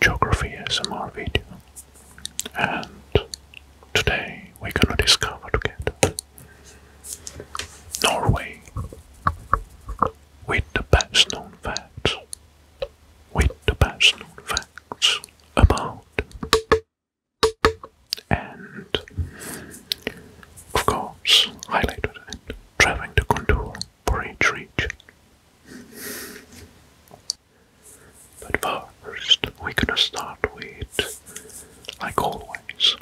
geography S M R video and today we're gonna discover together Norway with the best known facts with the best known facts about and of course highlighted and traveling the contour for each region. But first, we're gonna start with, like always,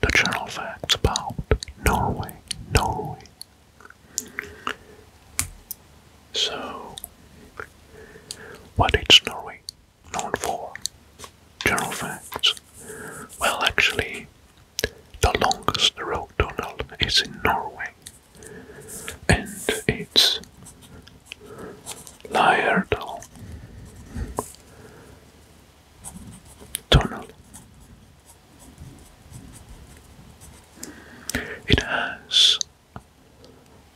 the general facts about Norway. Norway. So, what is Norway known for? General facts. Well, actually, the longest road tunnel is in Norway and it's Liardal Tunnel. It has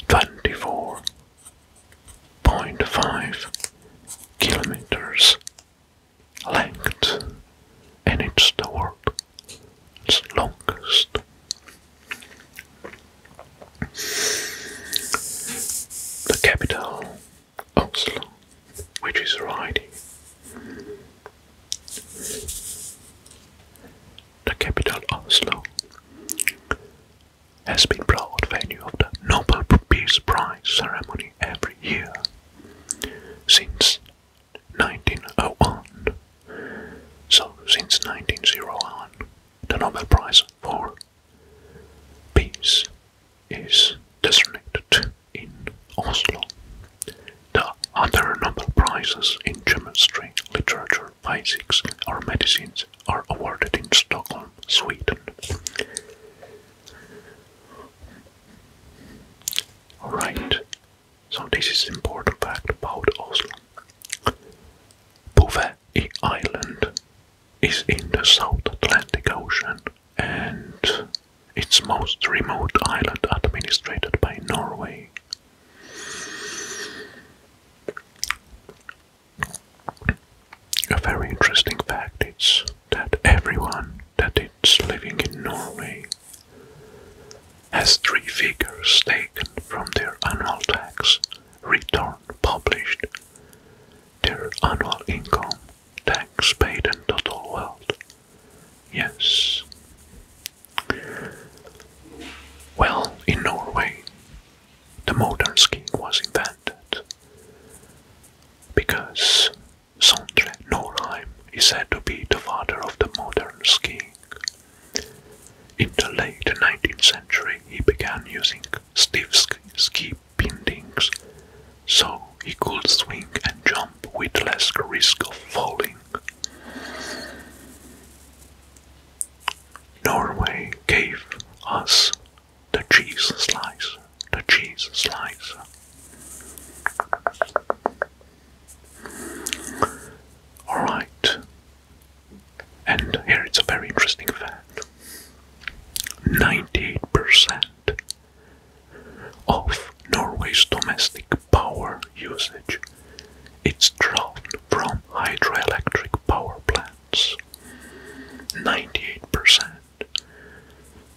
24.5 kilometers length and it's the world longest. The capital, Oslo, which is riding. The capital, Oslo, has been proud venue of the Nobel Peace Prize ceremony every year since 1901. So, since 1901, the Nobel Prize for Peace is designated in Oslo. The other Nobel Prizes in chemistry, literature, physics, or medicines are awarded in Stockholm, Sweden. Alright, so this is important fact about Oslo. Bouvet Island is in the South Atlantic Ocean and its most remote island administered by Norway. A very interesting fact is that everyone that is living in Norway has three figures taken from their annual tax return published, their annual income, tax paid, in total wealth. Yes. Well, in Norway, the modern scheme was invented because Sondre Norheim is said to be the father of the modern skiing. In the late 19th century, he began using stiff ski bindings so he could swing and jump with less risk of falling. Norway gave us the cheese slice, the cheese slice. Alright, and here it's a very interesting fact 98% of Norway's domestic power usage is drawn from hydroelectric power plants. 98%.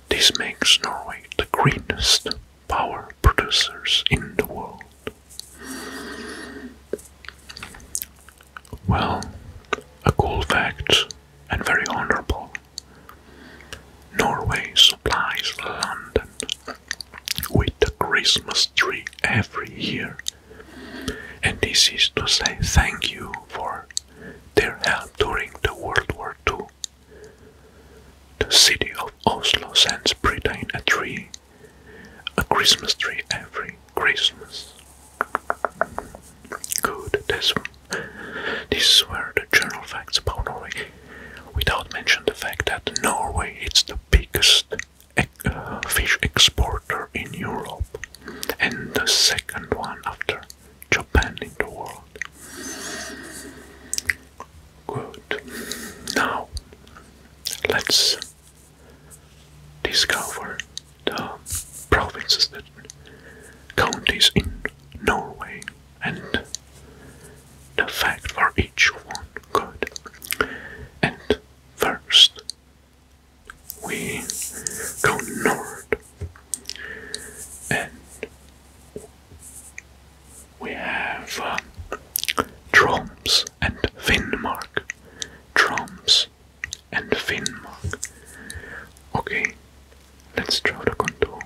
This makes Norway the greenest power producers in the world. Well, a cool fact and very honorable. Norway supplies London with a Christmas tree every year, and this is to say thank you for their help during the World War II. The city of Oslo sends Britain a tree, a Christmas tree every Christmas. Good, this one. These were the general facts about Norway, without mention the fact that Norway is the biggest uh, fish exporter in Europe and the second one after Japan in the world. Good. Now let's discover the provinces that counties in Norway and the fact for each one. Good. And first we go north we have uh, and Finnmark. Troms and Finnmark. Okay, let's draw the contour.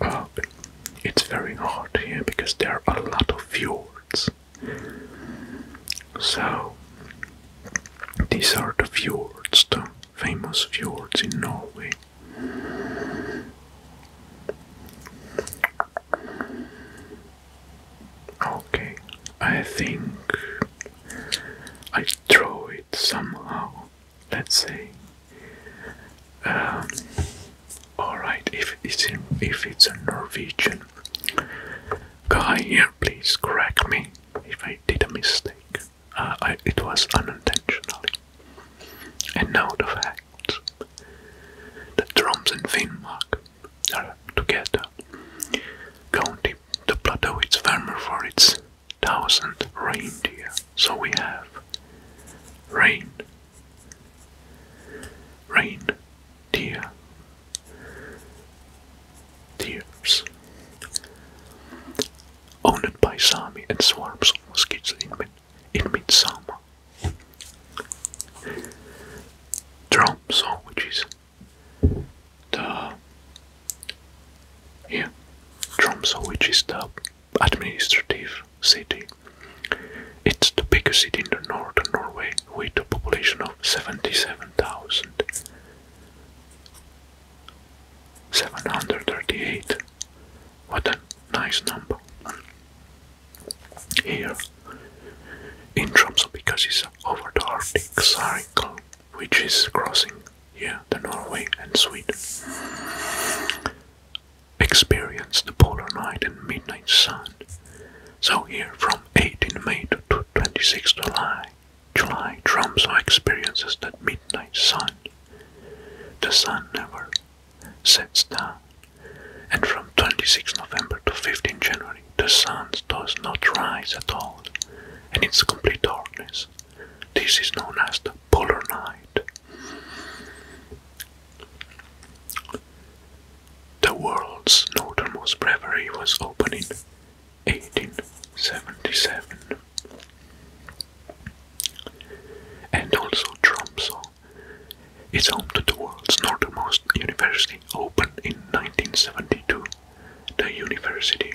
Uh, it's very hard here because there are a lot of fjords. So, these are the fjords famous fjords in Norway. Okay, I think I draw it somehow, let's say. Um, Alright, if it's if it's a Norwegian guy here, please correct me if I did a mistake. Uh, it was unintentionally. And now the facts that Troms and Finnmark are together, counting the plateau is famous for its thousand reindeer. So we have rain, rain, deer, tears, owned by Sami and swarms of mosquitoes in, mid in midsummer. Tromso, which is the yeah, Tromso, which is the administrative city. It's the biggest city in the northern Norway with a population of 77,000. 738. What a nice number. Here, in Tromsø, because it's over the Arctic Circle, which is crossing here, the Norway and Sweden. Experience the polar night and midnight sun. So here, from 18 May to 26 July, July Tromso experiences that midnight sun. The sun never sets down, and from 26 November to 15 January, the sun does not rise at all, and it's complete darkness. This is known as the polar night. The world's northernmost brewery was opened in 1877. And also Tromsø is home to the world's northernmost university, Open in 1972, the University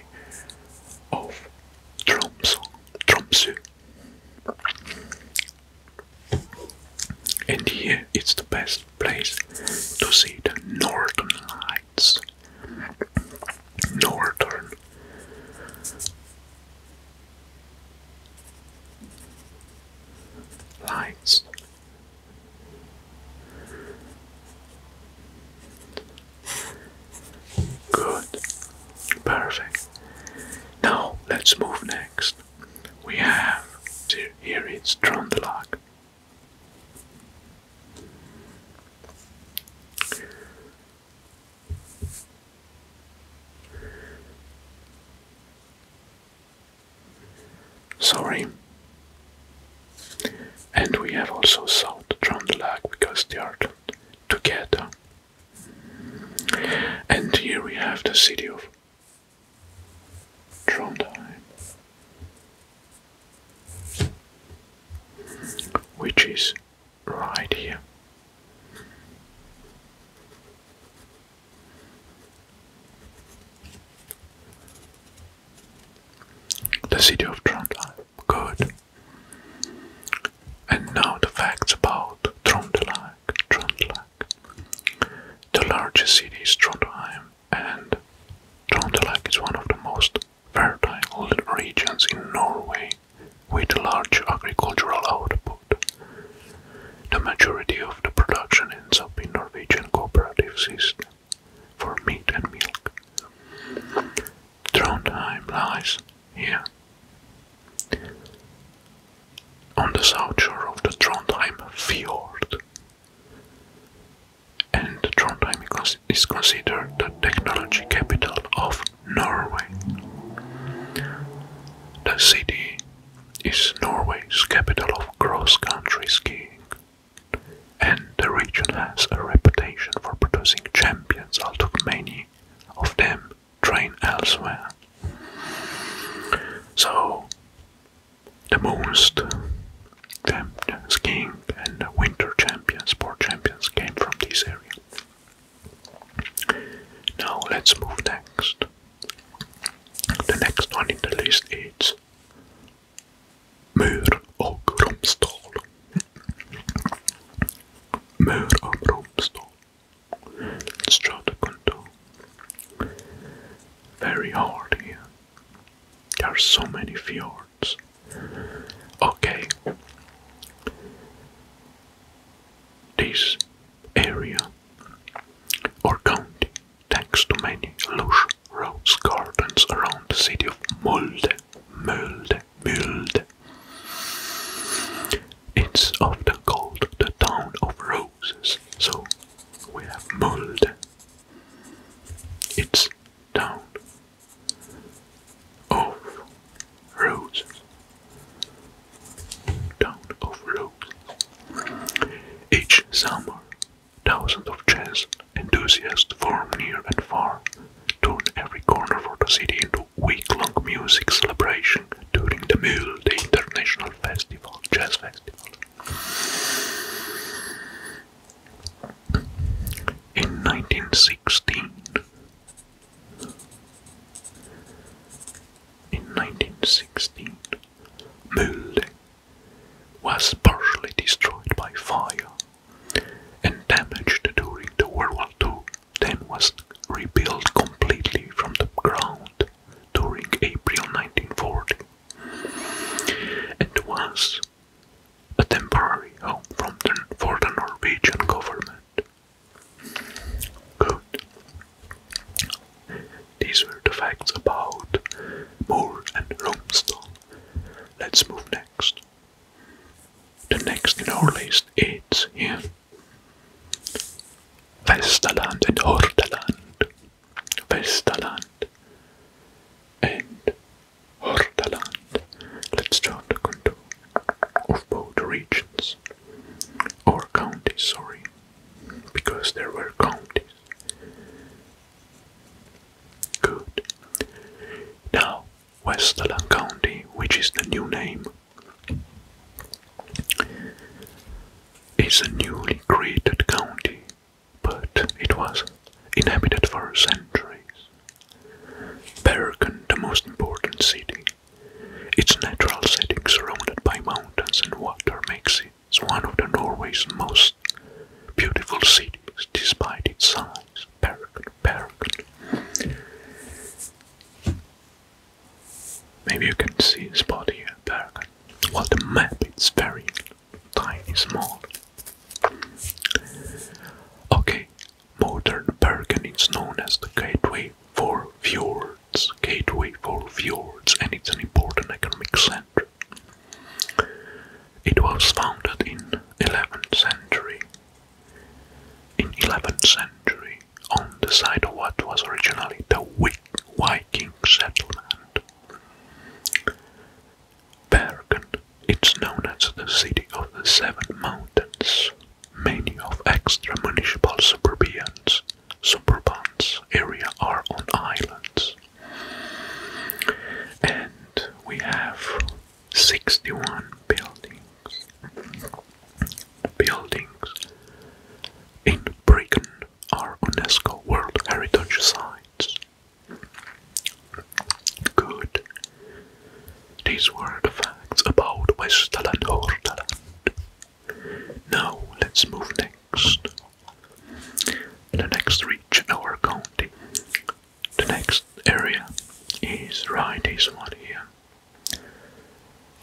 of Tromsø. Tromsø. And here it's the best place to see the northern lights. Northern Lights. Good. Perfect. Now let's move next. We have here it's Lock. Sorry. And we have also South Trøndelag because they are together. And here we have the city of Trondheim, which is right here. The city of Trondheim. Good. And now the facts about Trondheim. Trondheim. The largest city is Trondheim, and Trondheim is one of the most fertile regions in Norway with large agricultural output. The majority of the production ends up in Norwegian cooperative system for meat and milk. Trondheim lies here. On the south shore of the Trondheim Fjord. And Trondheim is considered the technology capital of Norway. The city is Norway's capital of cross-country skiing, and the region has a reputation for producing champions, although many of them train elsewhere. So, the most skiing and winter champions, sport champions came from this area. Now let's move next. The next one in the list is Mör och Romsdal. Mör och Romsdal. let to Very hard here. There are so many fjords. Okay. This area or county, thanks to many lush rose gardens around the city of Molde, Molde, Molde, it's often called the town of roses. So we have Molde. It's town of roses. Town of roses. Each summer, thousands of jazz enthusiasts from near and far turn every corner for the city into week-long music celebration during the Mule, the international festival, jazz festival. In 1916, in 1916, Mulde was partially destroyed by fire and damaged during the World War II, then was rebuilt completely from the ground during April 1940 and was a temporary home from for the Norwegian government. These were the facts about Moore and Rumstone. Let's move next. The next in our list is yeah, Vestaland and Hordaland. Vestaland and Hordaland. Let's draw the contour of both regions, or counties, sorry, because there were counties. Good. Now, Westland County, which is the new name, is a newly created county, but it was inhabited for centuries. Bergen, the most important city. Its natural setting surrounded by mountains and water makes it one of Norway's most beautiful cities despite its size. Bergen, Bergen. Maybe you can see this spot here, Bergen. Well, the map is very tiny, small. Okay, modern Bergen is known as the Gateway for Fjords, Gateway for Fjords, and it's an important economic center. It was founded in 11th century. In 11th century, on the site of what was originally the Viking settlement, Bergen it's known as the City of the Seven Mountains. Many of extra-municipal suburbans, suburbans area are on islands. And we have 61 buildings. Buildings in Brigham are UNESCO World Heritage Sites. Good. These were the facts about Westland and Hordaland. Now let's move next. The next region, our county. The next area is right this one here,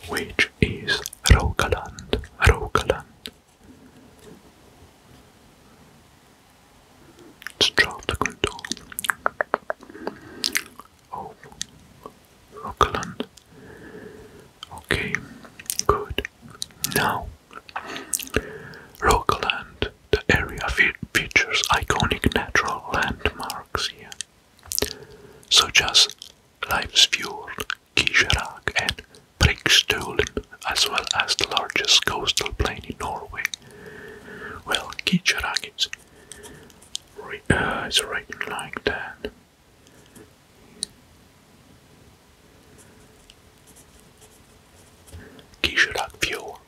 which is Rokaland. Rogaland. Let's drop the contour. Oh, Okay, good. Now, Rockland, the area features iconic natural landmarks here, such as Leifsfjord, Kisherak, and Brikstolen, as well as the largest coastal plain in Norway. Well, Kisherak is uh, it's written like that. Kishirak Fjord.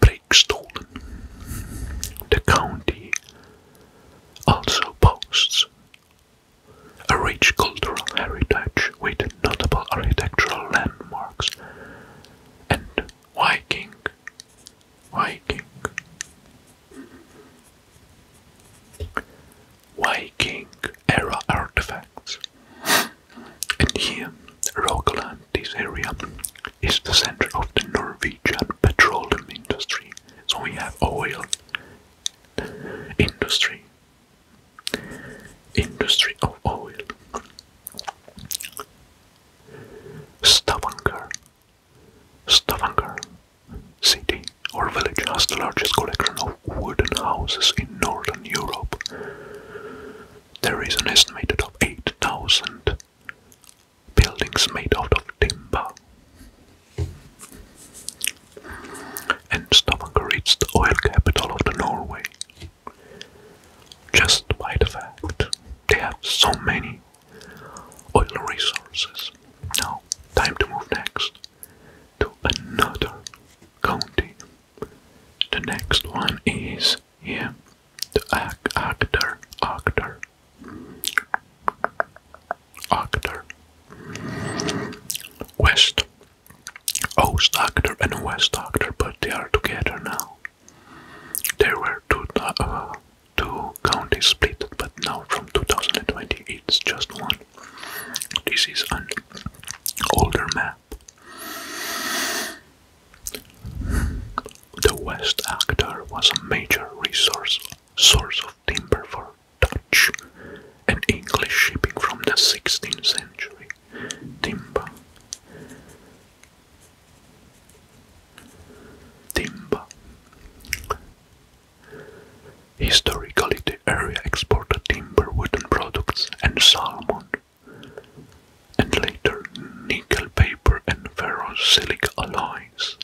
Brigstolen. The county also boasts a rich cultural heritage with notable architectural landmarks and Viking, Viking, Viking era artifacts. And here, Rogaland, this area, is the center of the Norwegian petroleum industry. So we have oil industry, industry of oil. Stavanger. Stavanger city or village has the largest collection of wooden houses in northern Europe. There is an estimated of 8,000 buildings made out of timber. And Stavanger is the oil capital of the Norway just by the fact they have so many oil resources. Now, time to move next to another county. The next one is yeah, the actor, actor, actor, West, Oast and West actor, but they are together now. There were two, uh, two counties split, but now from 2020 it's just one. This is an older map. The West Actor was a major resource source of timber for Dutch and English shipping from the 16th century. Timber Timber. Historically, the area exported timber, wooden products, and salmon, and later nickel, paper, and ferrosilic alloys.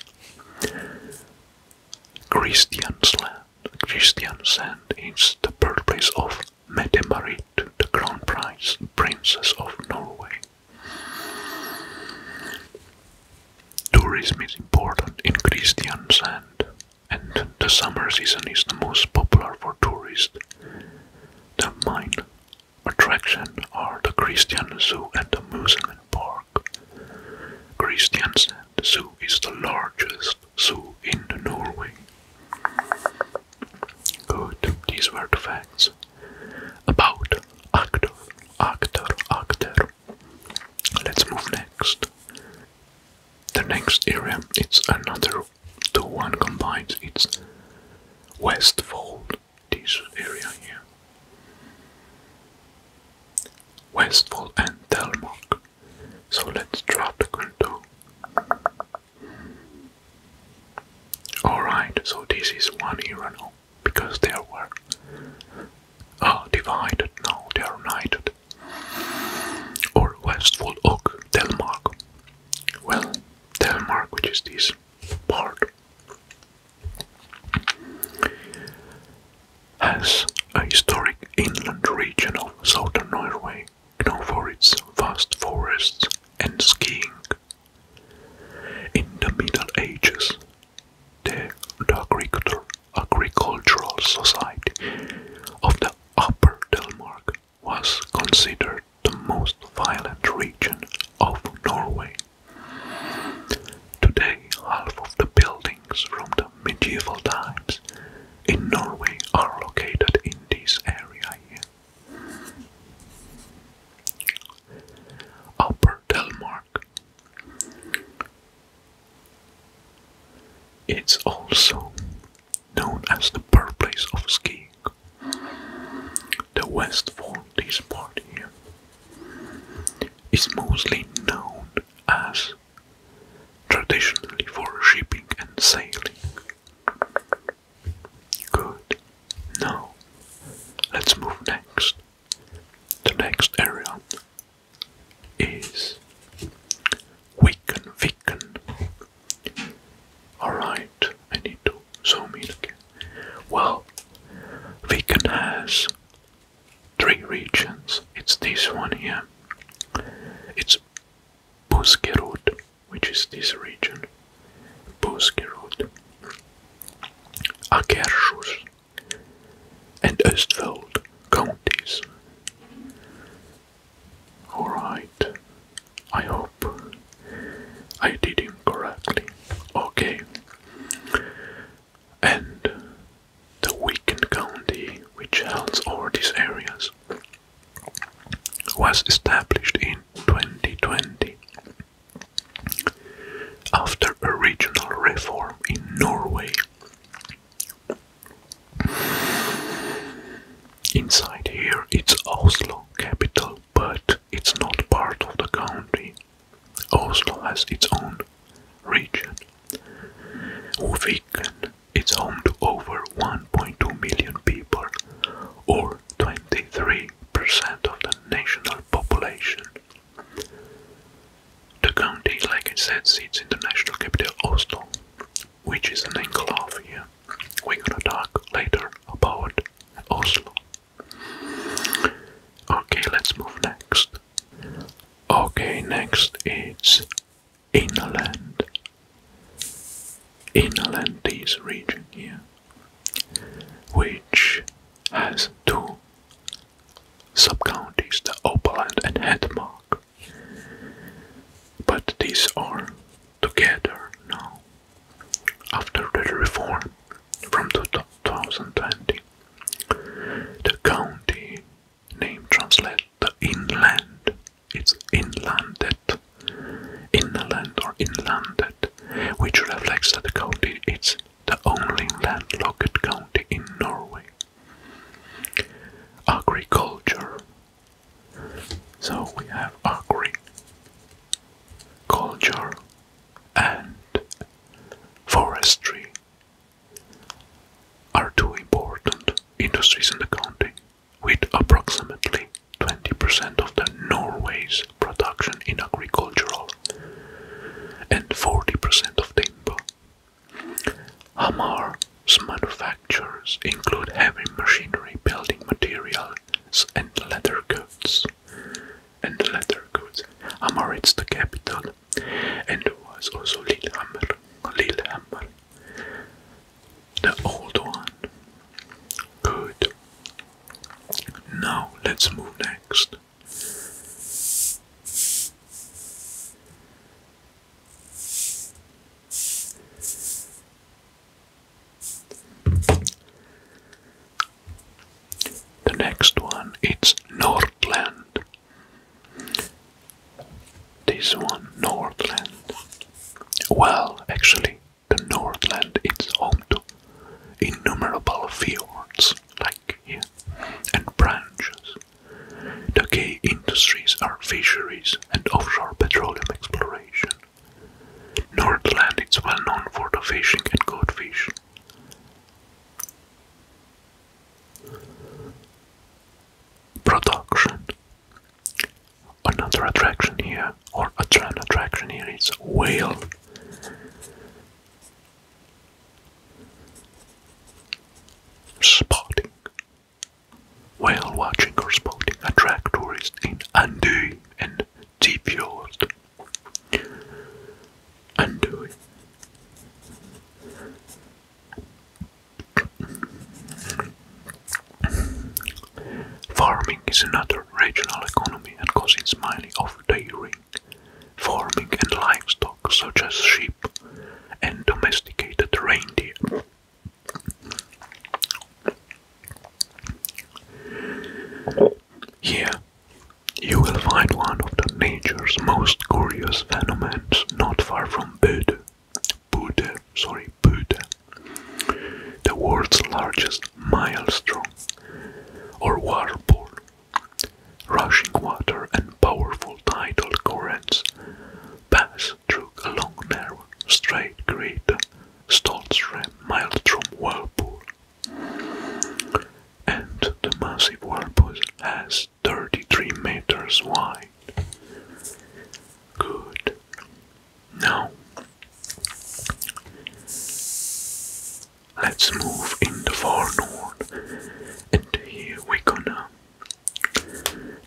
Christiansand, Christiansand is the birthplace of Mette Marit, the crown prince, princess of Norway. Tourism is important in Kristiansand, and the summer season is the most popular for tourists. The main attraction are the Christian Zoo and the amusement park. Kristiansand Zoo is the largest zoo in Norway. Good, these were the facts about actor, actor, actor. Let's move next. The next area its another two one combined, it's Westfold, this area here. Westfold and Delmark. So let's drop the contour. Alright, so this is one era now, because there were uh, divided now, they are united. Or Westfold Oak, Denmark. Well, Denmark, which is this part, has a historic inland region of southern Norway known for its vast forests and skiing. In the Middle Ages, the, agricultural society of the Upper Delmark was considered the most violent region of Norway. Today, half of the buildings from the medieval times in Norway are located in this area Upper Delmark. It's also known as the birthplace of skiing. The West Forties part here is mostly known as traditionally for shipping and sailing. Good. Now, let's move next. The next area is Wiccan Wiccan. Alright, I need to zoom in again. Well, Viken has three regions. It's this one here. It's Buskerud, which is this region, Buskerud, Akershus, and Östfold counties. Alright, I hope I did it correctly. Okay. And the Wicken County, which holds all these areas, was established in 2020 after a regional reform in Norway. Inside here it's Oslo capital, but it's not part of the country. Oslo has its own region. Viken is home to over 1 1.2 million people, or 23% of the national population. The county, like I said, sits in the national capital Oslo, which is an enclave here. We're gonna talk later about Oslo. Okay, let's move next. Okay, next is England. Inland Inlandese region here, which has two sub-counties, the Oberland and Hedmark. But these are together now, after the reform from 2020. The county name translates the inland it's inlanded, inland or inlanded, which reflects that the county is the only landlocked county in Norway. Agriculture. So we have agriculture and forestry are two important industries in the county with approximately 20% of the Norway's production in agricultural and 40% of timber. Hamar's manufactures include heavy machinery, building materials, and leather goods. And leather goods. Hamar is the capital, and was also Lillehammer. Lillehammer the old one. Good. Now let's move next. The next one it's Nordland. This one Nordland. Well, actually, the Northland is home to innumerable fjords, like here, and branches. The key industries are fisheries and offshore petroleum exploration. Northland is well known for the fishing and codfish Production Another attraction here, or a trend attraction here, is whale. Spotting. Whale watching or spotting attract tourists in Andu and Tifjord. Andu. Farming is another regional economy and consists mainly of dairy, farming and livestock such as sheep and domesticated reindeer. Here you will find one of the nature's most curious phenomena not far from Bude. Bude, sorry, Buddha, the world's largest maelstrom or whirlpool. Rushing water and powerful tidal currents pass through a long, narrow, straight grid mile from whirlpool. And the massive whirlpool has 33 meters wide. Good. Now Let's move in the far north, and here we're gonna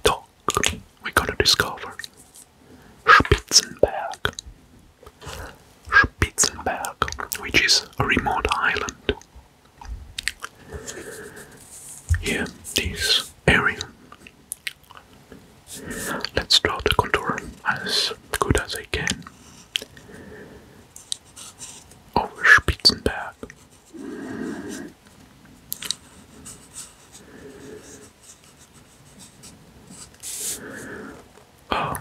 talk. we gonna discover Spitzenberg, Spitzenberg, which is a remote island. Here, this area Let's draw the contour as good as I can. Over Spitzenberg. Oh.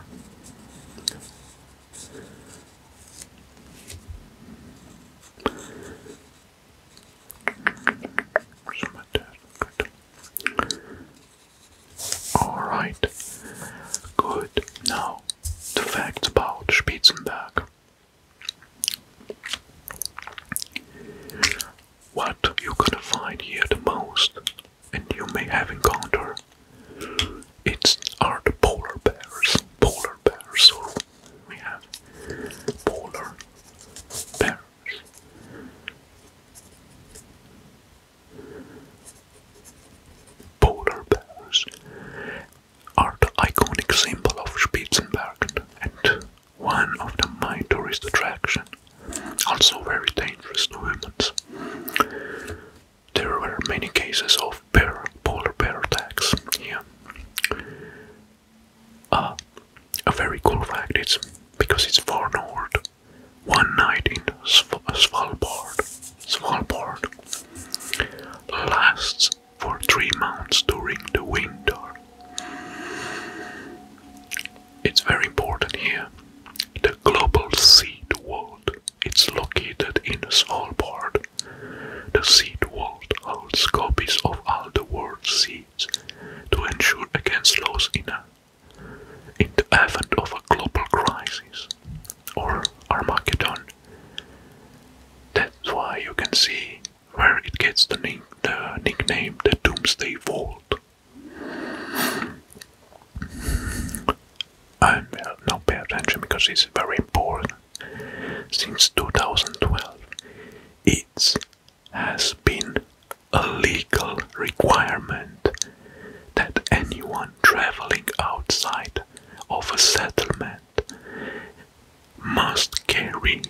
Good. Alright. Good. Now, the facts about Spitzenberg. What you're gonna find here the most, and you may have encountered, it's are the polar bears. Polar bears. So we have polar bears. Polar bears are the iconic symbol of Spitzenbergen and one of the main tourist attractions, also very dangerous to humans. There were many cases of bear, polar bear attacks here. Uh, a very cool fact is because it's far north, one night in Sv Svalbard, Svalbard lasts for three months during the winter. It's very important here. The global seed world. It's located in Svalbard. The seed world holds copies of all the world's seeds to ensure against loss in a in the event of a global crisis or Armageddon. That's why you can see where it gets the, nickname the Doomsday Vault. i uh, now pay attention because it's very important. Since 2012, it's has been a legal requirement that anyone traveling outside of a settlement must carry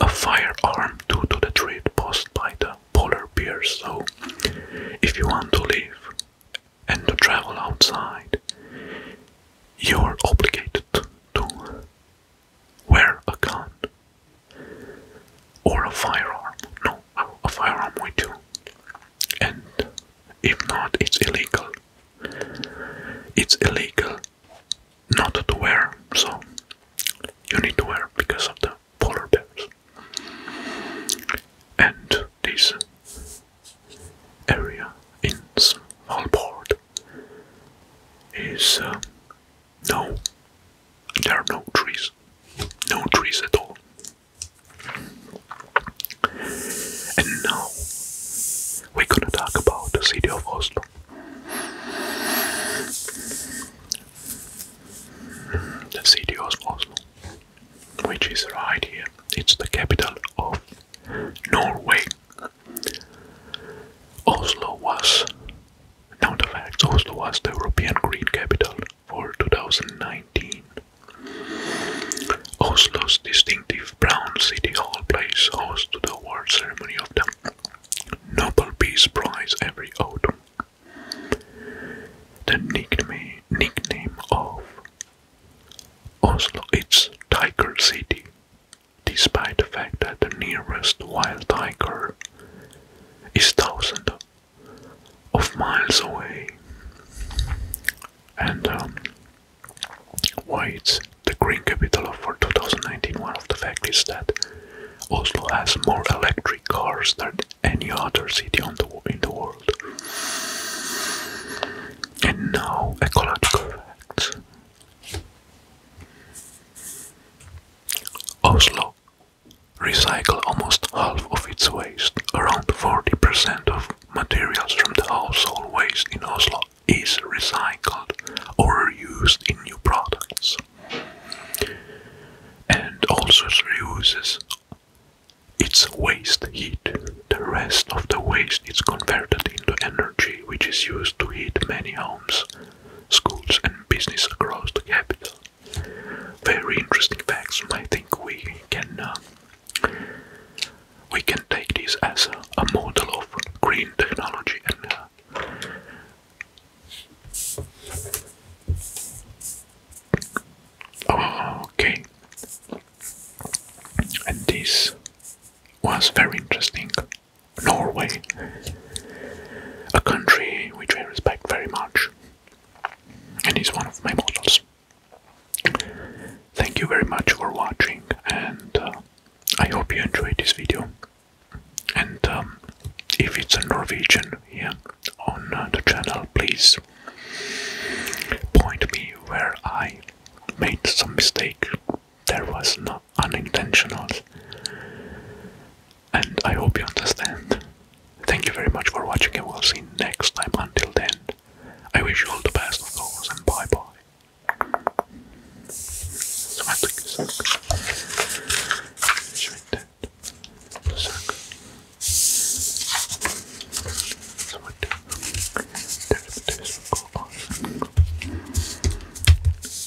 a firearm due to the threat posed by the polar bears. So, if you want to live and to travel outside, you're obligated to wear a gun or a firearm. No, a firearm we do. And if not, it's illegal. It's illegal not to wear, so you need to wear because of the polar bears. And this area in Svalbard is um, no, there are no trees. No trees at all. And now we're gonna talk about the city of Oslo. The city of Oslo, which is right here, it's the capital of Norway. Oslo was Nonetheless, Oslo was the European Green Capital for 2019. Oslo's distinctive brown city hall plays host to the award ceremony of the Nobel Peace Prize every autumn. The nickname, nickname of Oslo is Tiger City, despite the fact that the nearest wild tiger is thousands of miles away and um, why it's the green capital of for 2019 one of the facts is that Oslo has more electric cars than any other city in the world and now ecological facts Oslo recycle almost half of its waste. Around 40% of materials from the household waste in Oslo is recycled or used in new products. And also reuses its waste heat. The rest of the waste is converted into energy which is used to heat many homes, schools and business across the capital very interesting facts. I think we can uh, we can take this as a, model of green technology uh, Okay, and this was very interesting. Norway, a country which I respect very much and is one of my models. Thank you very much for watching and uh, I hope you enjoyed this video. And um, if it's a Norwegian here on uh, the channel, please point me where I made some mistake. There was no unintentional and I hope you understand. Thank you very much for watching and we'll see next time. Until then, I wish you all the best of course and bye bye.